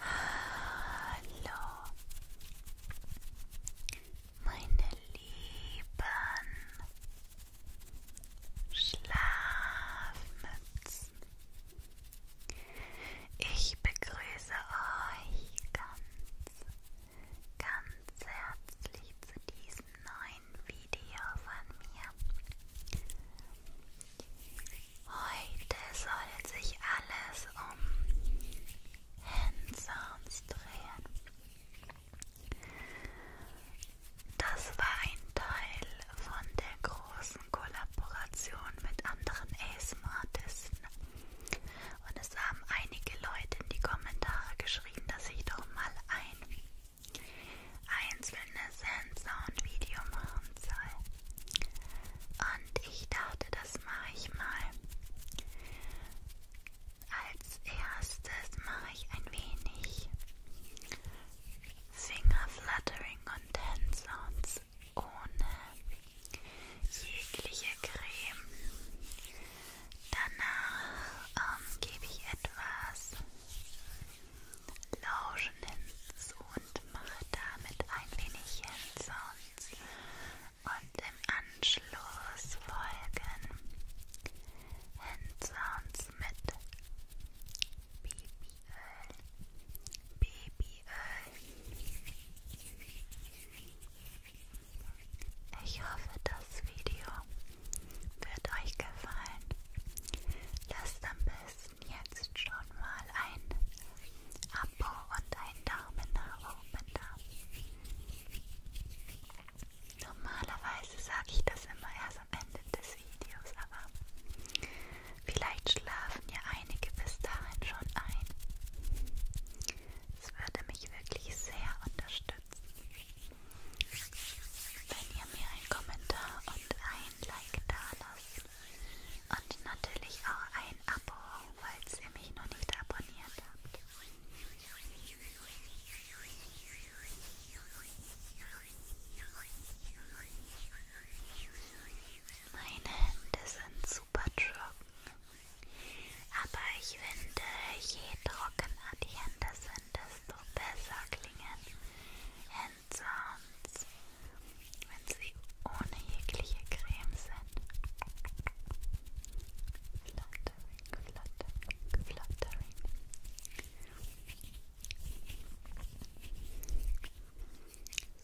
Hallo, meine lieben Schlafmützen. Ich begrüße euch ganz, ganz herzlich zu diesem neuen Video von mir. Heute soll sich alles um Handsounds drehen. Das war ein Teil von der großen Kollaboration mit anderen ASM-Artisten. Und es haben einige Leute in die Kommentare geschrieben, dass ich doch mal ein einzelne Sensor- und Videomachen soll. Und ich dachte, das mache ich mal. Als erstes mache ich ein wenig Fingerfluttering und Handsounds ohne jegliche Creme. Danach ähm, gebe ich etwas Lauschen hinzu und mache damit ein wenig Hands-ons und im Anschluss folgen Hands-ons mit Babyöl, Babyöl. Ich hoffe, das Video wird euch gefallen. Lasst am besten lassen jetzt schon mal ein Abo und ein Daumen nach oben da. Normalerweise sage ich das immer erst am Ende des Videos, aber vielleicht schlafen ja einige bis dahin schon ein. Es würde mich wirklich sehr unterstützen wenn ihr mir einen Kommentar und ein Like da lasst. Und natürlich auch ein Abo, falls ihr mich noch nicht abonniert habt. Meine Hände sind super trocken, aber ich finde, je trockener die Hände sind, desto besser klingen Zahns, wenn sie ohne jegliche Creme sind. Fluttering, fluttering, fluttering.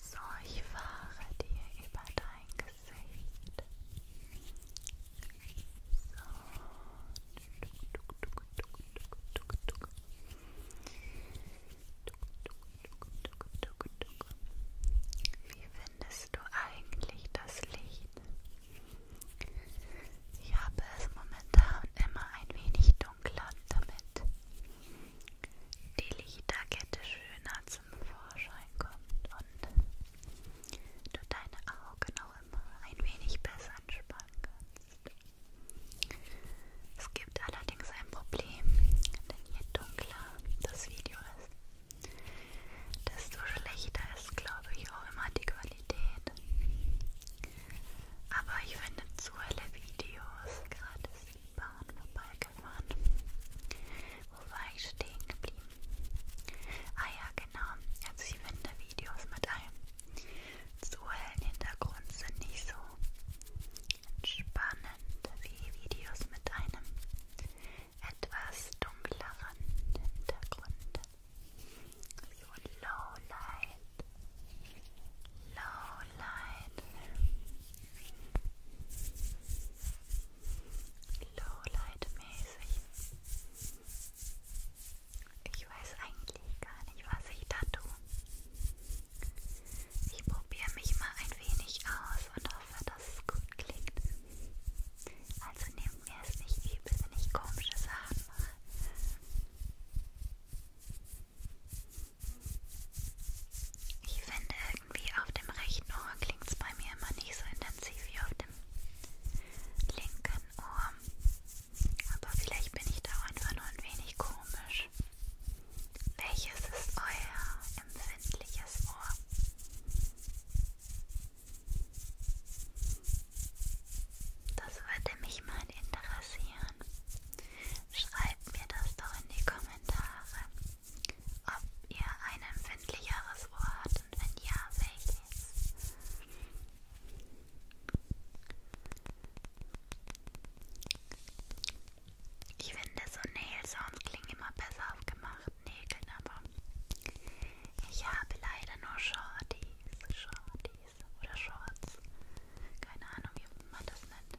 So, ich fahre dir über dein Gesicht. So. Wie findest du eigentlich das Licht? Ich habe es momentan immer ein wenig dunkler, damit die Lichterkette schöner zum Vorschein kommt und du deine Augen auch immer ein wenig besser anspannen kannst. Es gibt allerdings ein Problem, denn je dunkler das Video ist, desto schlechter ist, glaube ich, auch immer die Qualität. Aber ich finde zu helle Videos, gerade ist die Bahn vorbeigefahren. Wo war ich stehen geblieben? Ah ja, genau. Also ich finde Videos mit einem so hellen Hintergrund sind nicht so spannend wie Videos mit einem etwas dunkleren Hintergrund. So Low Light. Low Light. Low Light mäßig. Ich weiß eigentlich gar nicht, was ich da tue. Ich probiere mich mal ein wenig aus und hoffe, dass es gut klingt. Also nehmt mir es nicht übel, wenn ich komische Sachen mache. Ich finde irgendwie auf dem rechten Ohr klingt es bei mir immer nicht so intensiv wie auf dem linken Ohr. Aber vielleicht bin ich da auch einfach nur ein wenig komisch. Welches ist euer empfindliches Ohr? Das würde mich mal interessieren. Schreibt mir das doch in die Kommentare, ob ihr ein empfindlicheres Ohr habt und wenn ja, welches. Ich finde so Nail Sounds klingen immer besser auf gemachten Nägeln, aber ich habe leider nur Shorties, Shorties oder Shorts. Keine Ahnung, wie man das nennt.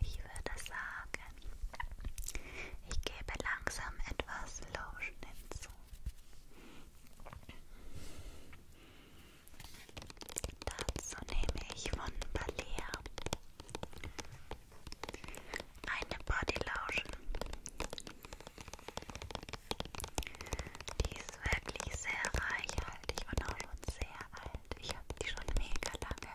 Ich würde sagen, ich gebe langsam etwas Lotion hinzu. Dazu nehme ich von Balea eine Body Lotion. Die ist wirklich sehr reichhaltig und auch schon sehr alt. Ich habe die schon mega lange.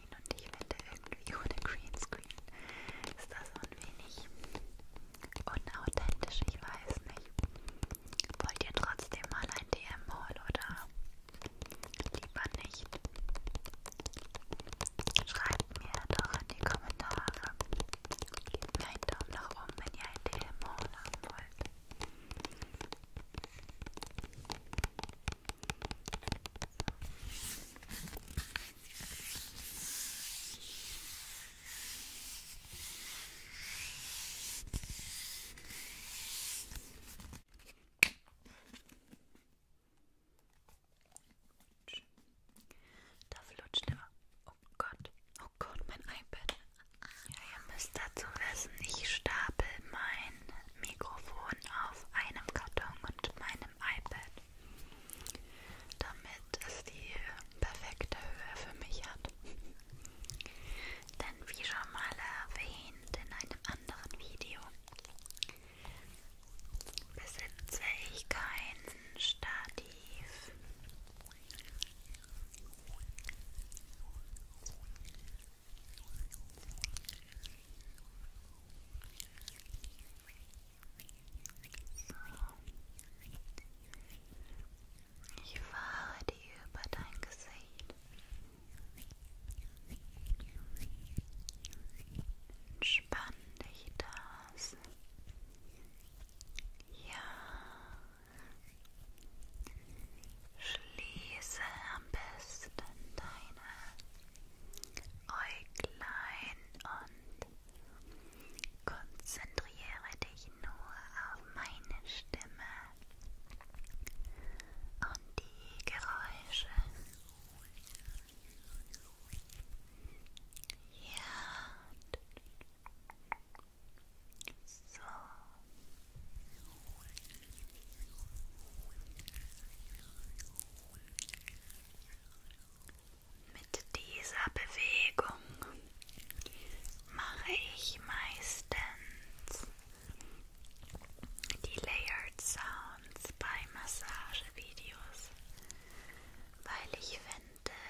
Greenscreen und ich finde irgendwie ohne Greenscreen ist das so ein wenig unauthentisch, ich weiß nicht. Wollt ihr trotzdem mal ein DM-Haul oder lieber nicht? Schreibt mir doch in die Kommentare. Gebt mir einen Daumen nach oben, wenn ihr ein DM-Haul haben wollt. Da flutscht immer. Oh Gott, oh Gott, mein iPad. Ja, ihr müsst dazu wissen, ich stapel mein Mikrofon auf einem Karton und meinem iPad, damit es die perfekte Höhe für mich hat. Denn wie schon mal erwähnt in einem anderen Video, besitze ich kein Stativ. Ich fahre dir über dein Gesicht. Entspann dich das. Ja. Schließe am besten deine Äuglein und konzentriere dich nur auf meine Stimme und die Geräusche. Ja. So. Mit dieser Bewegung mache ich meistens die Layered Sounds bei Massagevideos, weil ich finde,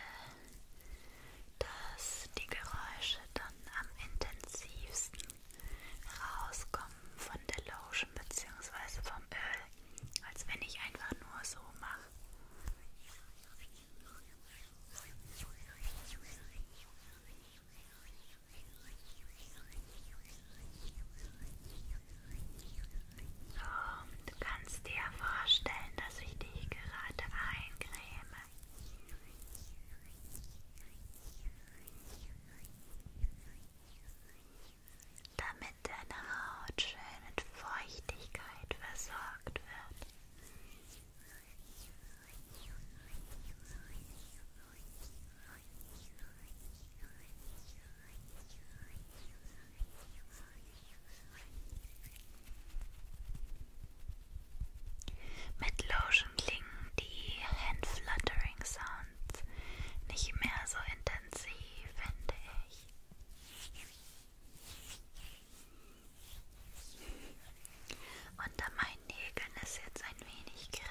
dass die Geräusche dann am intensivsten rauskommen von der Lotion bzw. vom Öl, als wenn ich einfach nur so mache. Oh, du kannst dir vorstellen, dass ich dich gerade eincreme damit deine Haut schön mit Feuchtigkeit versorgt wird. Mit Lotion klingen die Hand-Fluttering Sounds nicht mehr so intensiv, finde ich. Unter meinen Nägeln ist jetzt ein wenig Creme.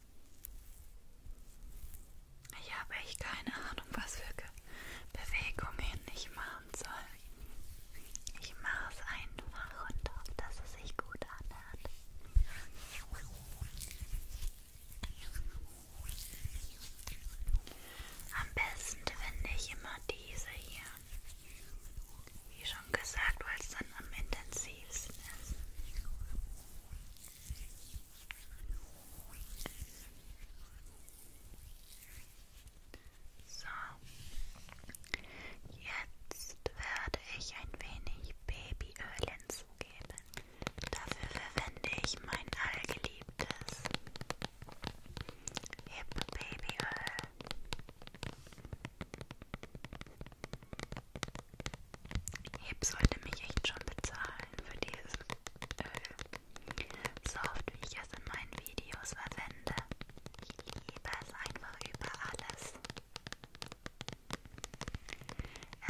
Ich habe echt keine Ahnung, was für Bewegungen ich machen soll. Ich mache es einfach und hoffe, dass es sich gut anhört. Am besten finde ich immer diese hier. Wie schon gesagt, weil es dann am intensivsten ist. So, jetzt werde ich ein wenig Babyöl hinzugeben. Dafür verwende ich mein allgeliebtes Hip Babyöl. Heb sollte mich echt schon bezahlen für dieses Öl. Äh, so oft, wie ich es in meinen Videos verwende. Ich liebe es einfach über alles.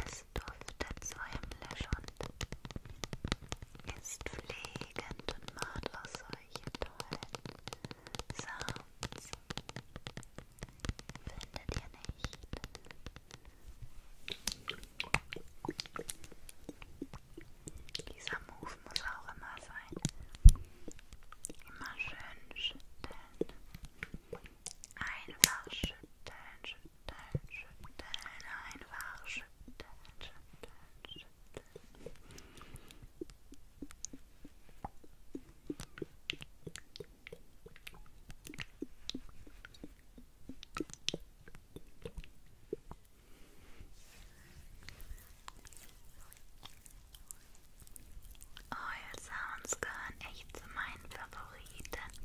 Es duftet so himmlisch und ist pflegend und macht aus solche tollen Sounds. Findet ihr nicht? Dieser Move muss auch immer sein. Immer schön schütteln. Einfach schütteln, schütteln, schütteln. Einfach schütteln, schütteln, schütteln. Oil oh, Sounds gehören echt zu meinen Favoriten.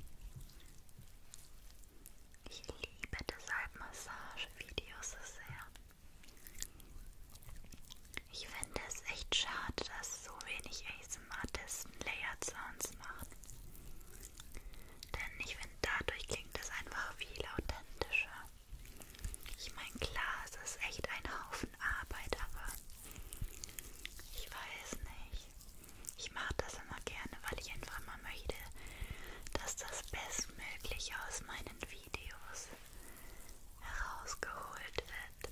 Ich liebe deshalb Massagevideos so sehr. Ich finde es echt schade, dass so wenig am smartesten Layer Sounds machen. Denn ich finde, dadurch klingt es einfach viel authentischer. Ich meine, klar, es ist echt ein Haufen Arbeit, aber ich weiß nicht. Ich mache das immer gerne, weil ich einfach mal möchte, dass das bestmöglich aus meinen Videos herausgeholt wird.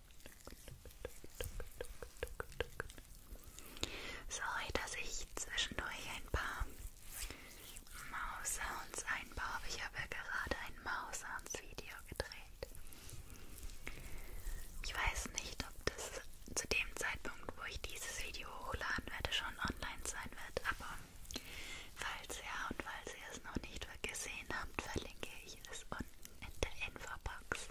Sorry, dass ich zwischendurch ein paar Maus-Sounds einbaue. Ich habe ja gerade ein Maus-Sounds-Video gedreht. Ich weiß nicht, ob das zu dem Zeitpunkt, wo ich dieses Video hochladen werde, schon online sein wird, aber falls ja und falls ihr es noch nicht gesehen habt, verlinke ich es unten in der Infobox.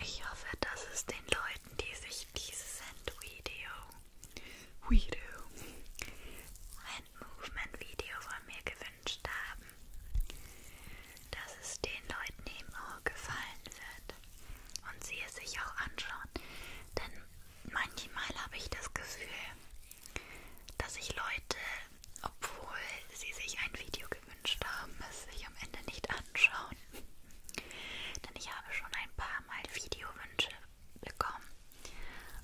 Ich hoffe, dass es den Leuten, die sich dieses Hand-Video, Video, Hand-Movement-Video von mir gewünscht haben, dass es den Leuten eben auch gefallen wird und sie es sich auch anschauen. Denn manchmal habe ich das Gefühl, dass ich Leute, obwohl sie sich ein Video gewünscht haben, es sich am Ende nicht anschauen. Denn ich habe schon ein paar Mal Videowünsche bekommen.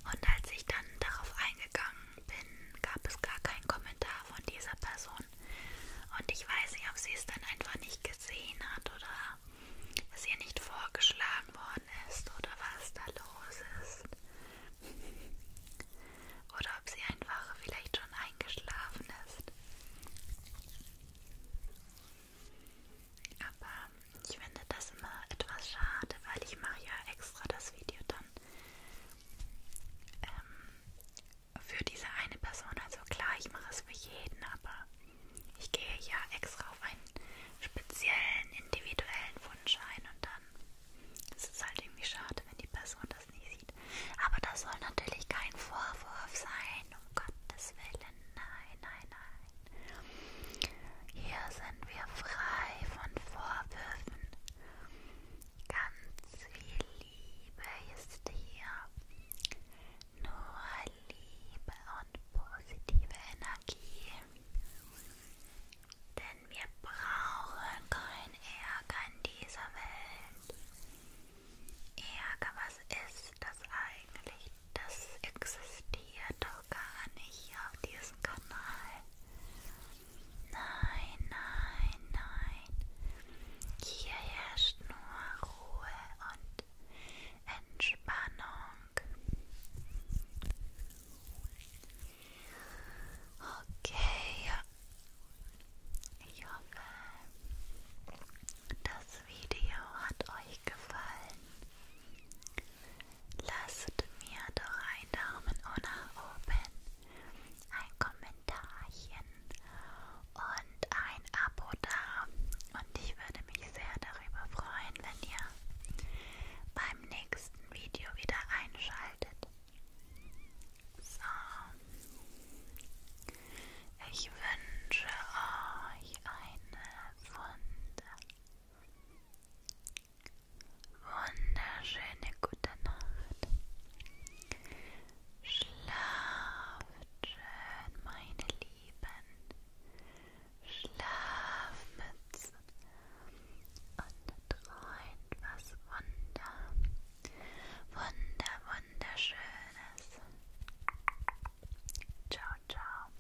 Und als ich dann darauf eingegangen bin, gab es gar keinen Kommentar von dieser Person. Und ich weiß nicht, ob sie es dann einfach nicht gesehen hat oder es ihr nicht vorgeschlagen worden ist oder was da los ist. Oder ob sie einfach vielleicht schon eingeschlafen ist. Aber ich finde das immer etwas schade, weil ich mache ja extra das Video dann ähm, für diese eine Person. Also klar, ich mache es für jeden, aber ich gehe ja extra auf einen speziellen, individuellen Wunsch ein und dann ist es halt irgendwie schade, wenn die Person das nicht sieht. Aber das soll natürlich kein Vorwurf sein, um Gottes Willen. Nein, nein, nein. Hier sind wir frei von Vorwürfen. Ganz viel Liebe ist hier. Nur Liebe und positive Energie. Denn wir brauchen keinen Ärger in dieser Welt. Ärger, was ist das eigentlich? Das existiert hier doch gar nicht hier auf diesem Kanal. Nein, nein, nein. Hier herrscht nur Ruhe und Entspannung. Okay, ja. Ich hoffe, das Video hat euch gefallen. Lasst mir doch einen Daumen nach oben, ein Kommentarchen und ein Abo da. Und ich würde mich sehr darüber freuen, wenn ihr beim nächsten Video wieder einschaltet. So. Ich wünsche euch eine wunderbare Wunderschöne gute Nacht. Schlaft schön, meine Lieben. Schlafmützen und träumt was Wunder. Wunder, wunderschönes. Ciao, ciao.